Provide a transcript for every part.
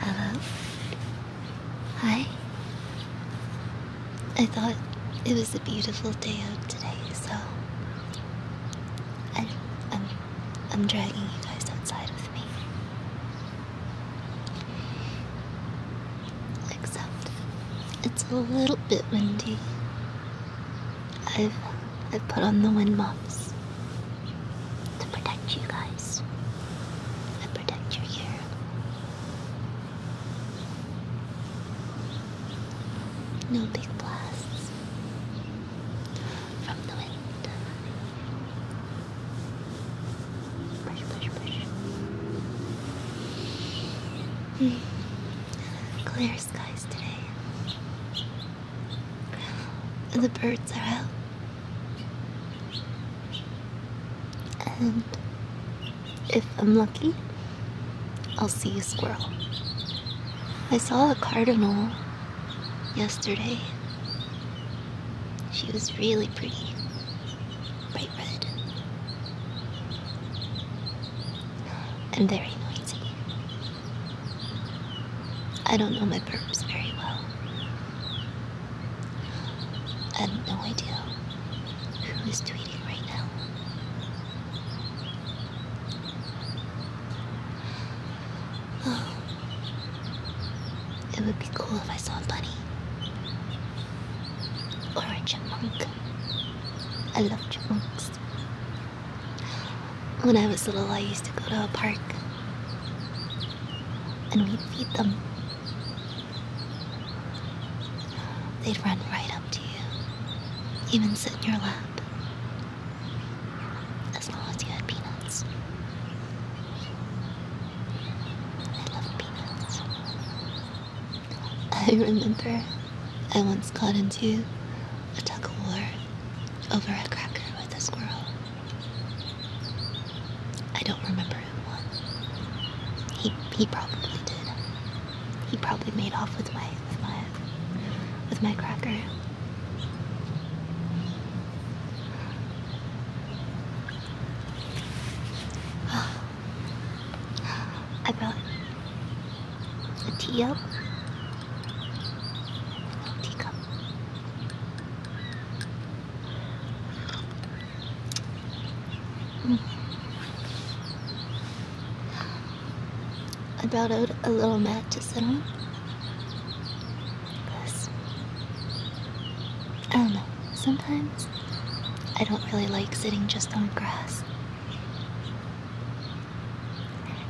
Hello? Hi? I thought it was a beautiful day out today, so I, I'm, I'm dragging you guys outside with me. Except it's a little bit windy. I've i put on the wind mops to protect you guys. and protect your ear. No big blasts from the wind. Push, push, push. Mm the birds are out. And if I'm lucky, I'll see a squirrel. I saw a cardinal yesterday. She was really pretty. Bright red and very noisy. I don't know my purpose very well. I have no idea who is tweeting right now. Oh. It would be cool if I saw a bunny or a chipmunk. I love chipmunks. When I was little, I used to go to a park and we'd feed them. They'd run right up to you, even sit in your lap, as long as you had peanuts. I love peanuts. I remember I once got into a tug of war over a cracker with a squirrel. I don't remember who won. He he probably did. He probably made off with my with my with my cracker. I brought a teacup? Teacup. Mm. I brought out a little mat to sit on. I don't know, sometimes I don't really like sitting just on grass.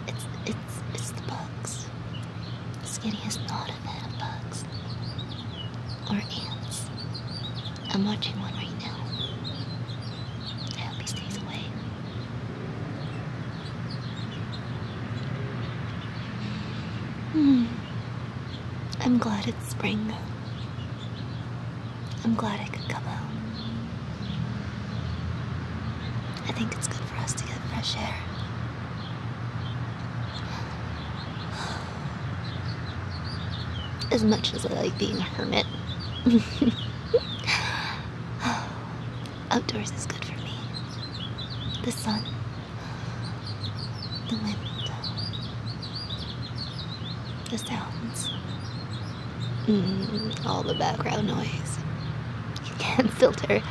It's it's it's the bugs. Skinny is not a fan of bugs or ants. I'm watching one right now. I hope he stays away. Hmm. I'm glad it's spring. I'm glad I could come out. I think it's good for us to get fresh air. As much as I like being a hermit, outdoors is good for me. The sun, the wind, the sounds, mm, all the background noise. You can't filter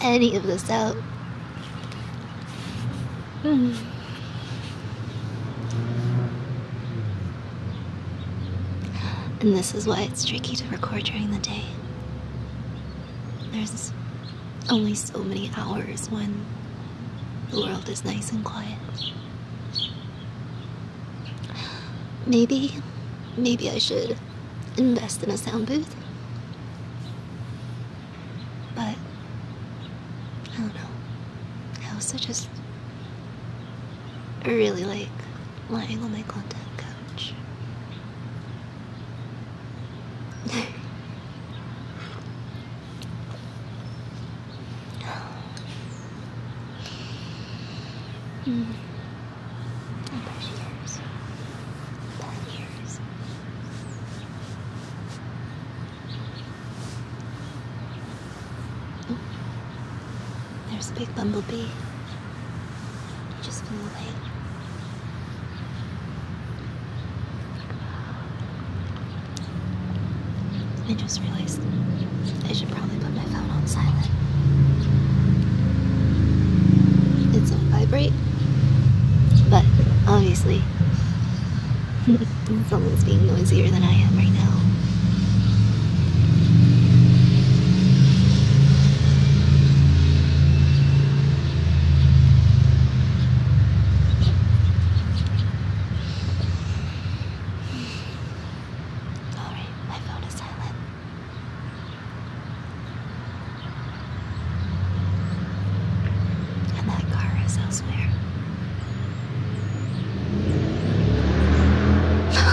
any of this out. Mm. And this is why it's tricky to record during the day. There's only so many hours when the world is nice and quiet. Maybe, maybe I should invest in a sound booth. But, I don't know. I also just really like lying on my content couch. Mm. About years. About years. There's a big bumblebee. He just flew away. I just realized. I should probably put my phone on silent. It's on vibrate, but obviously it's almost being noisier than I am right now. Sorry, my phone is silent. And that car is elsewhere.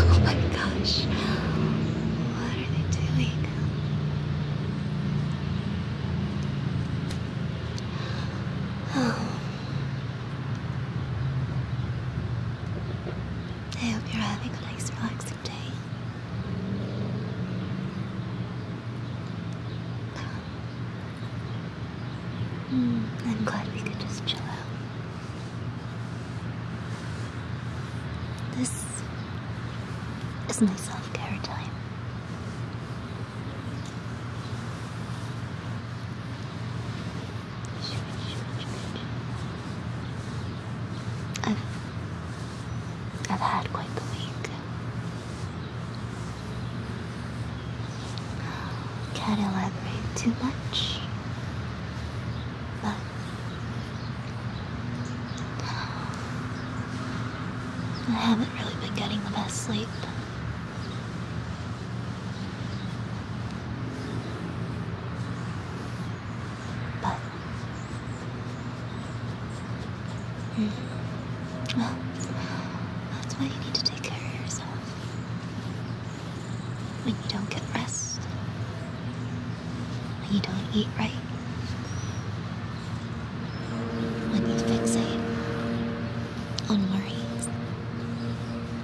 Oh my gosh. What are they doing? Oh. I hope you're having a nice relaxing day. Hmm, I'm glad we could just chill out. This is my self-care time. I've, I've had quite the week. Can't too much, but I haven't really been getting the best sleep. But mm. well, that's why you need to take care of yourself. When you don't get rest, when you don't eat right. When you fixate on worries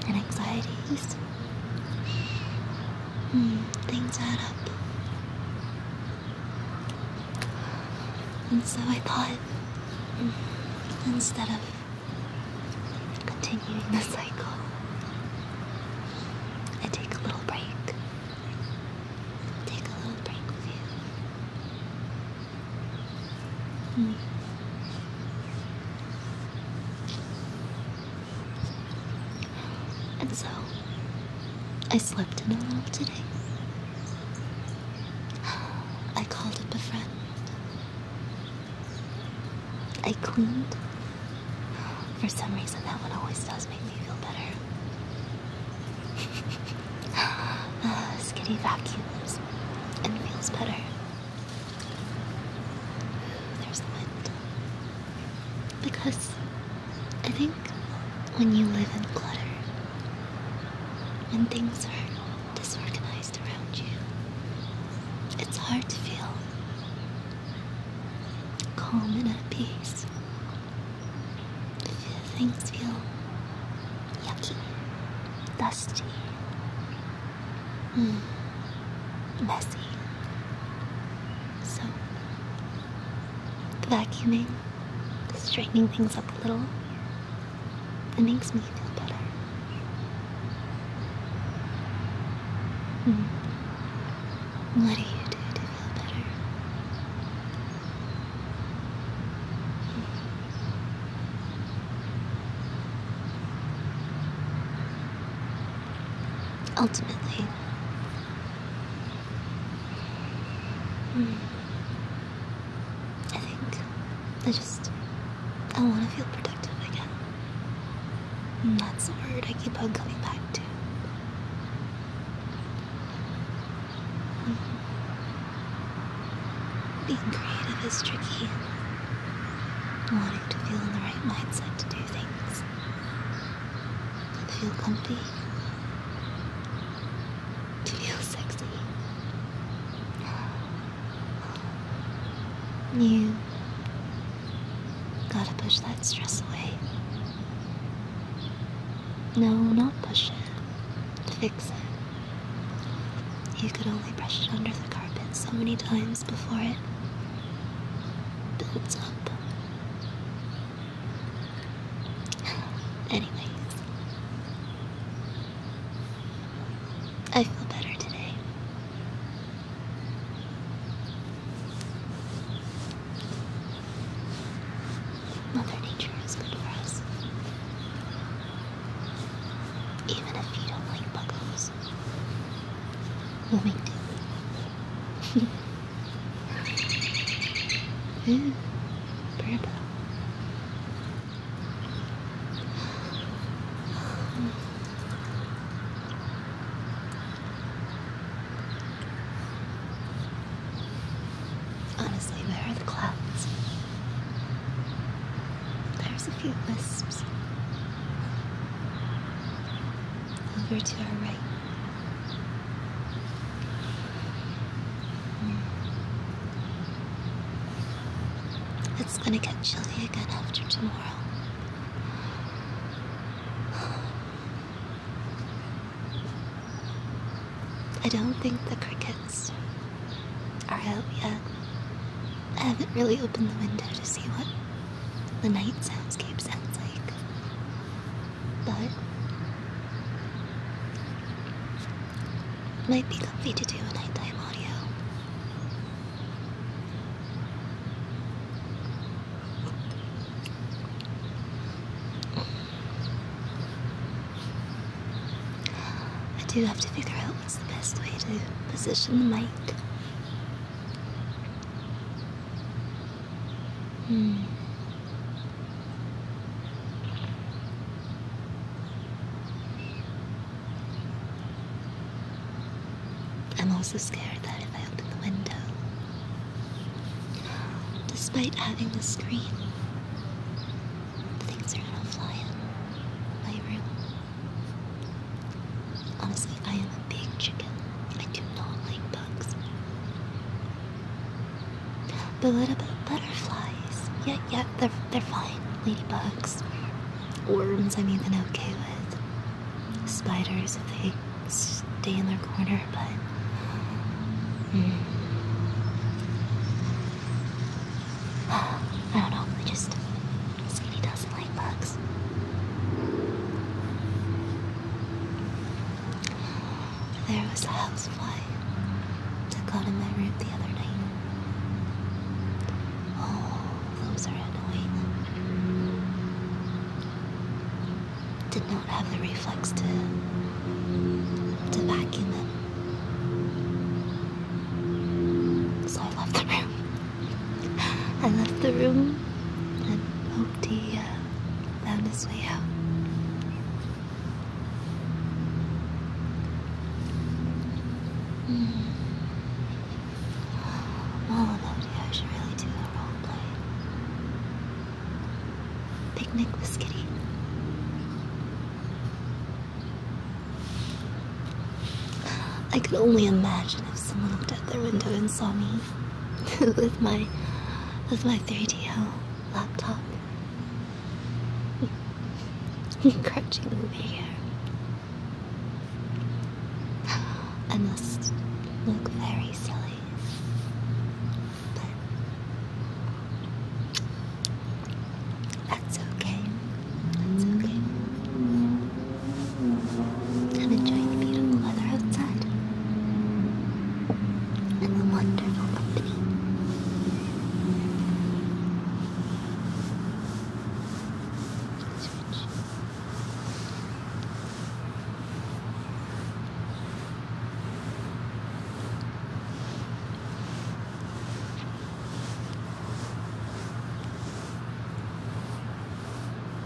and anxieties, Hmm, things add up. And so I thought, instead of continuing the cycle, I take a little break. Take a little break with you. Hmm. And so, I slept in a little today. I called up a friend. I cleaned. For some reason, that one always does make me feel better. Uh, skitty vacuums and feels better. Because I think when you live in clutter, when things are disorganized around you, it's hard to feel calm and at peace. Things feel yucky, dusty, Mm. Messy. So, vacuuming, straightening things up a little, it makes me feel better. Hmm. What do you do to feel better? Hmm. Ultimately. Hmm. I think I just I want to feel protective again. That's the word I keep on coming back to. Hmm. Being creative is tricky. Wanting to feel in the right mindset to do things. To feel comfy. To feel sexy. You gotta push that stress away. No, not push it. fix it. You could only brush it under the carpet so many times before it builds up. Anyways, I feel better today. Mother Nature is good for us. Even if you don't like buggos, We'll make Honestly, where are the clouds? There's a few wisps over to our right. It's gonna get chilly again after tomorrow. I don't think the crickets are out yet. I haven't really opened the window to see what the night soundscape sounds like. But might be comfy to do a nighttime audio. I do have to figure out what's the best way to position the mic. Hmm. I'm also scared that if I open the window, despite having the screen, things are gonna fly in my room. Honestly, I am a big chicken. I do not like bugs. But what about butterflies? Yeah, yeah, they're, they're fine. Ladybugs. Worms, I'm even okay with. Spiders, if they stay in their corner, but. Hmm. I don't know, I just. There was a housefly that got in my room the other night. Oh, those are annoying. Did not have the reflex to to vacuum them. So I left the room. I left the room and empty found uh, his way out. Hmm. All about you, I should really do a role play. Picnic with Kitty. I could only imagine someone looked out their window and saw me with my with my 3DL laptop crouching over here. I must look very silly. But that's okay. That's okay. I'm enjoying the beautiful weather outside and the wonderful company. Switch.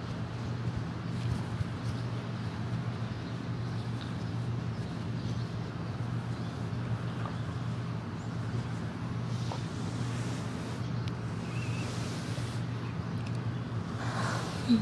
I feel it here.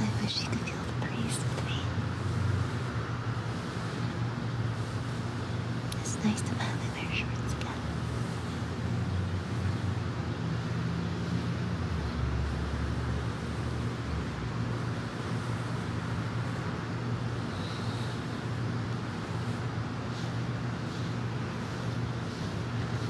I wish you could feel the breeze with me. It's nice to finally wear shorts again.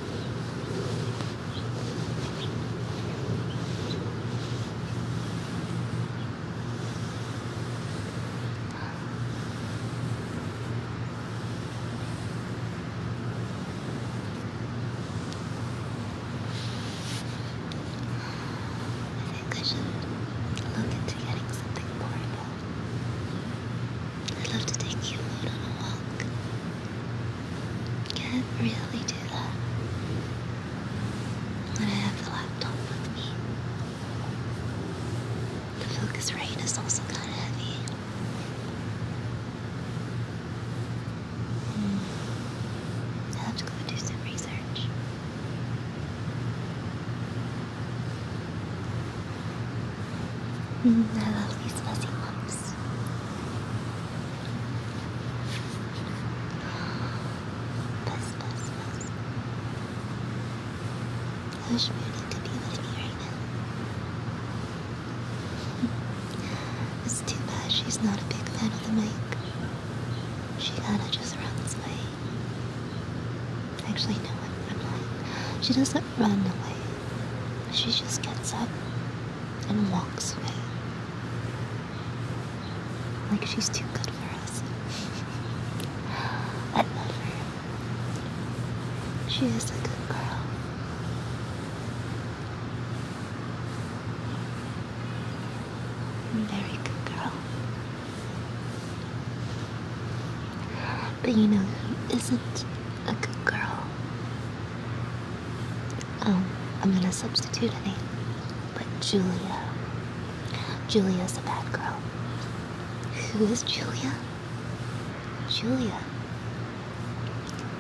I think I should look into getting something portable. I'd love to take you out on a walk. Can't really do that. I'm gonna have the laptop with me. The focus Focusrite is also kind of heavy. Hmm. i have to go do some research. Mm, I love these fuzzy ones this. Buzz, buzz, I wish Raven could be with me right now. it's too bad she's not a big fan of the mic. She kinda just runs away. Actually, no, I'm lying. She doesn't run away. She just gets up and walks away. Like she's too good for us. I love her. She is a good girl. Very good girl. But you know who isn't? a good girl. Um, I'm gonna substitute a name, but Julia. Julia's a bad girl. Who is Julia? Julia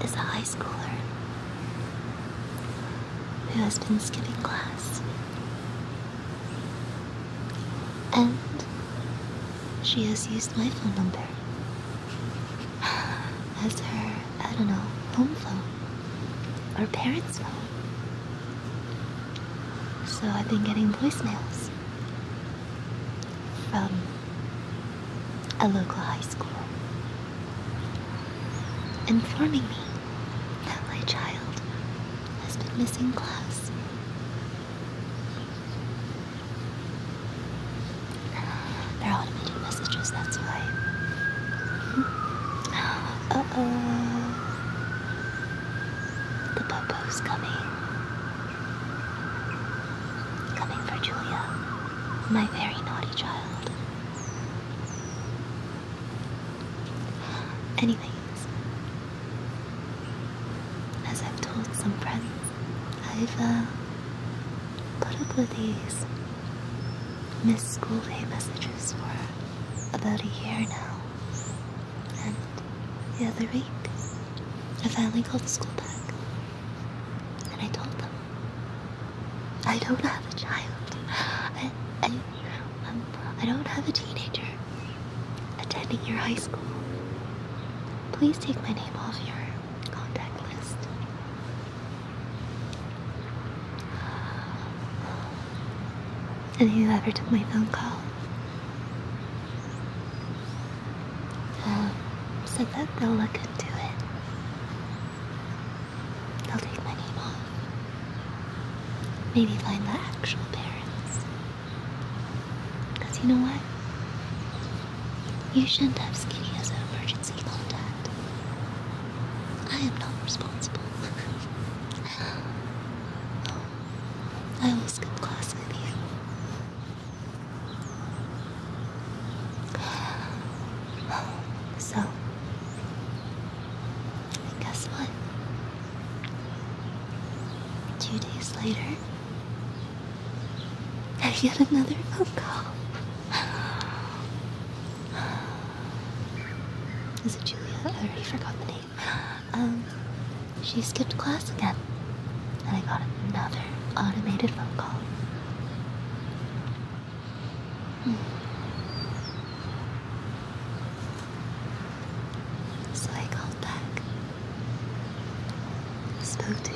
is a high schooler who has been skipping class. And she has used my phone number as her, I don't know, home phone or parents' phone. So I've been getting voicemails from a local high school informing me that my child has been missing class. They're automated messages, that's why. Uh oh. The popo's coming. Coming for Julia, my very naughty child. Anyways, as I've told some friends, I've put up with these missed school day messages for about a year now. And the other week, I finally called the school back. And I told them, I don't have a child. I, I, um, I don't have a teenager attending your high school. Please take my name off your contact list. And who ever took my phone call um, said that they'll look into it. They'll take my name off. Maybe find the actual parents. Because you know what? You shouldn't have Skinny as an emergency contact. I am not responsible. Oh, I will skip class with you. So, guess what? Two days later, I get another phone call. Is it Julia? I already forgot the name. Um, she skipped class again, and I got another automated phone call. Hmm. So I called back. Spoke to,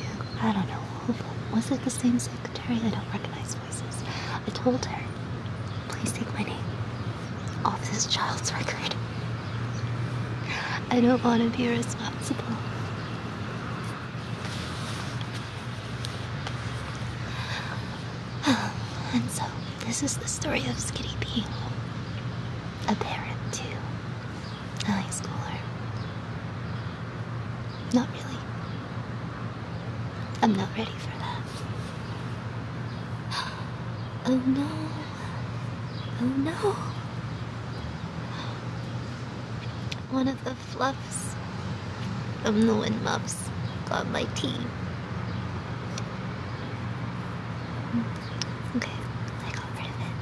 I don't know, was it the same secretary, I don't recognize voices. I told her, please take my name off this child's record. I don't want to be responsible. And so, this is the story of Skitty P, a parent to a high schooler. Not really. I'm not ready for that. Oh no. Oh no. One of the fluffs from the windmuffs got my tea. Hmm. Okay, I got rid of it.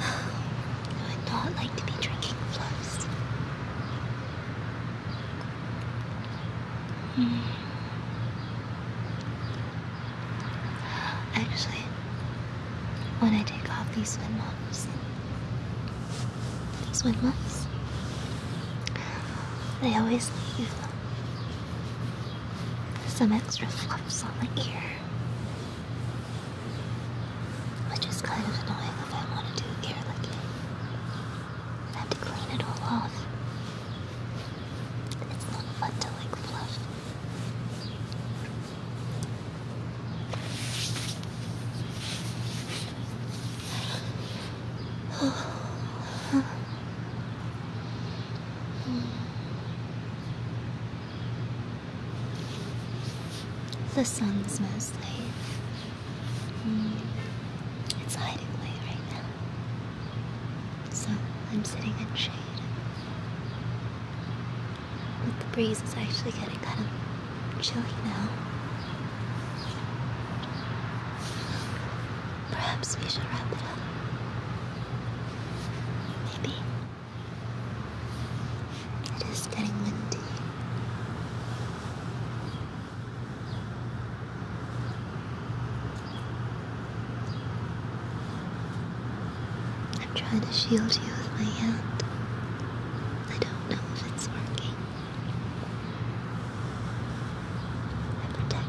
I would not like to be drinking fluffs. Hmm. Actually, when I take off these swim muffs, these swim muffs, they always leave some extra fluffs on the ear. Which is kind of annoying if I want to do ear licking. I have to clean it all off. It's not fun to like fluff. The sun's mostly. Mm, it's hiding away right now. So I'm sitting in shade. But the breeze is actually getting kind of chilly now. Perhaps we should wrap it up. Maybe. It is getting windy. I'm trying to shield you with my hand. I don't know if it's working. I protect.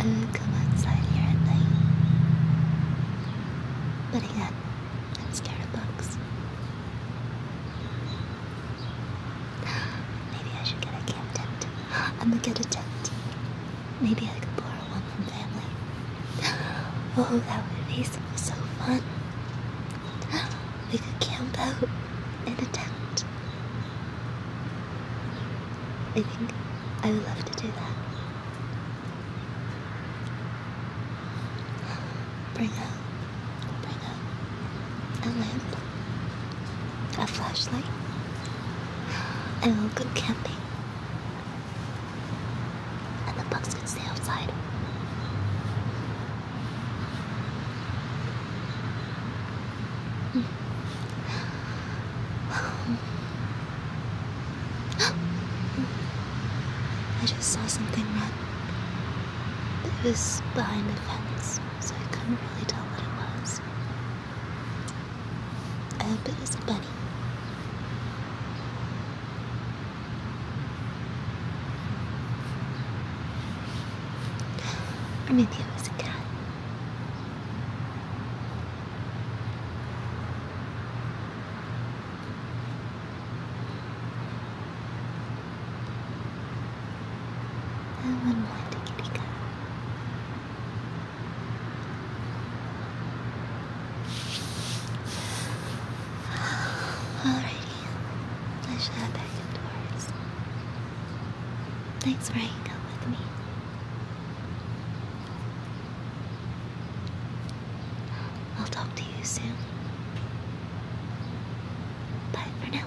I would come outside here at night. But again, I'm scared of bugs. Maybe I should get a tent. I'm gonna get a tent. Maybe I could borrow one from family. Oh, that would be so fun. We could camp out in a tent. I think I would love to do that. Bring up, bring up a lamp, a flashlight, and we'll go camping. And the bugs can stay outside. I just saw something red. It was behind a fence, so I couldn't really tell what it was. I hope it was a bunny. Or maybe it was a cat. And one more to kitty cat. Alrighty, I should head back indoors. Thanks for hanging out with me. I'll talk to you soon. Bye for now.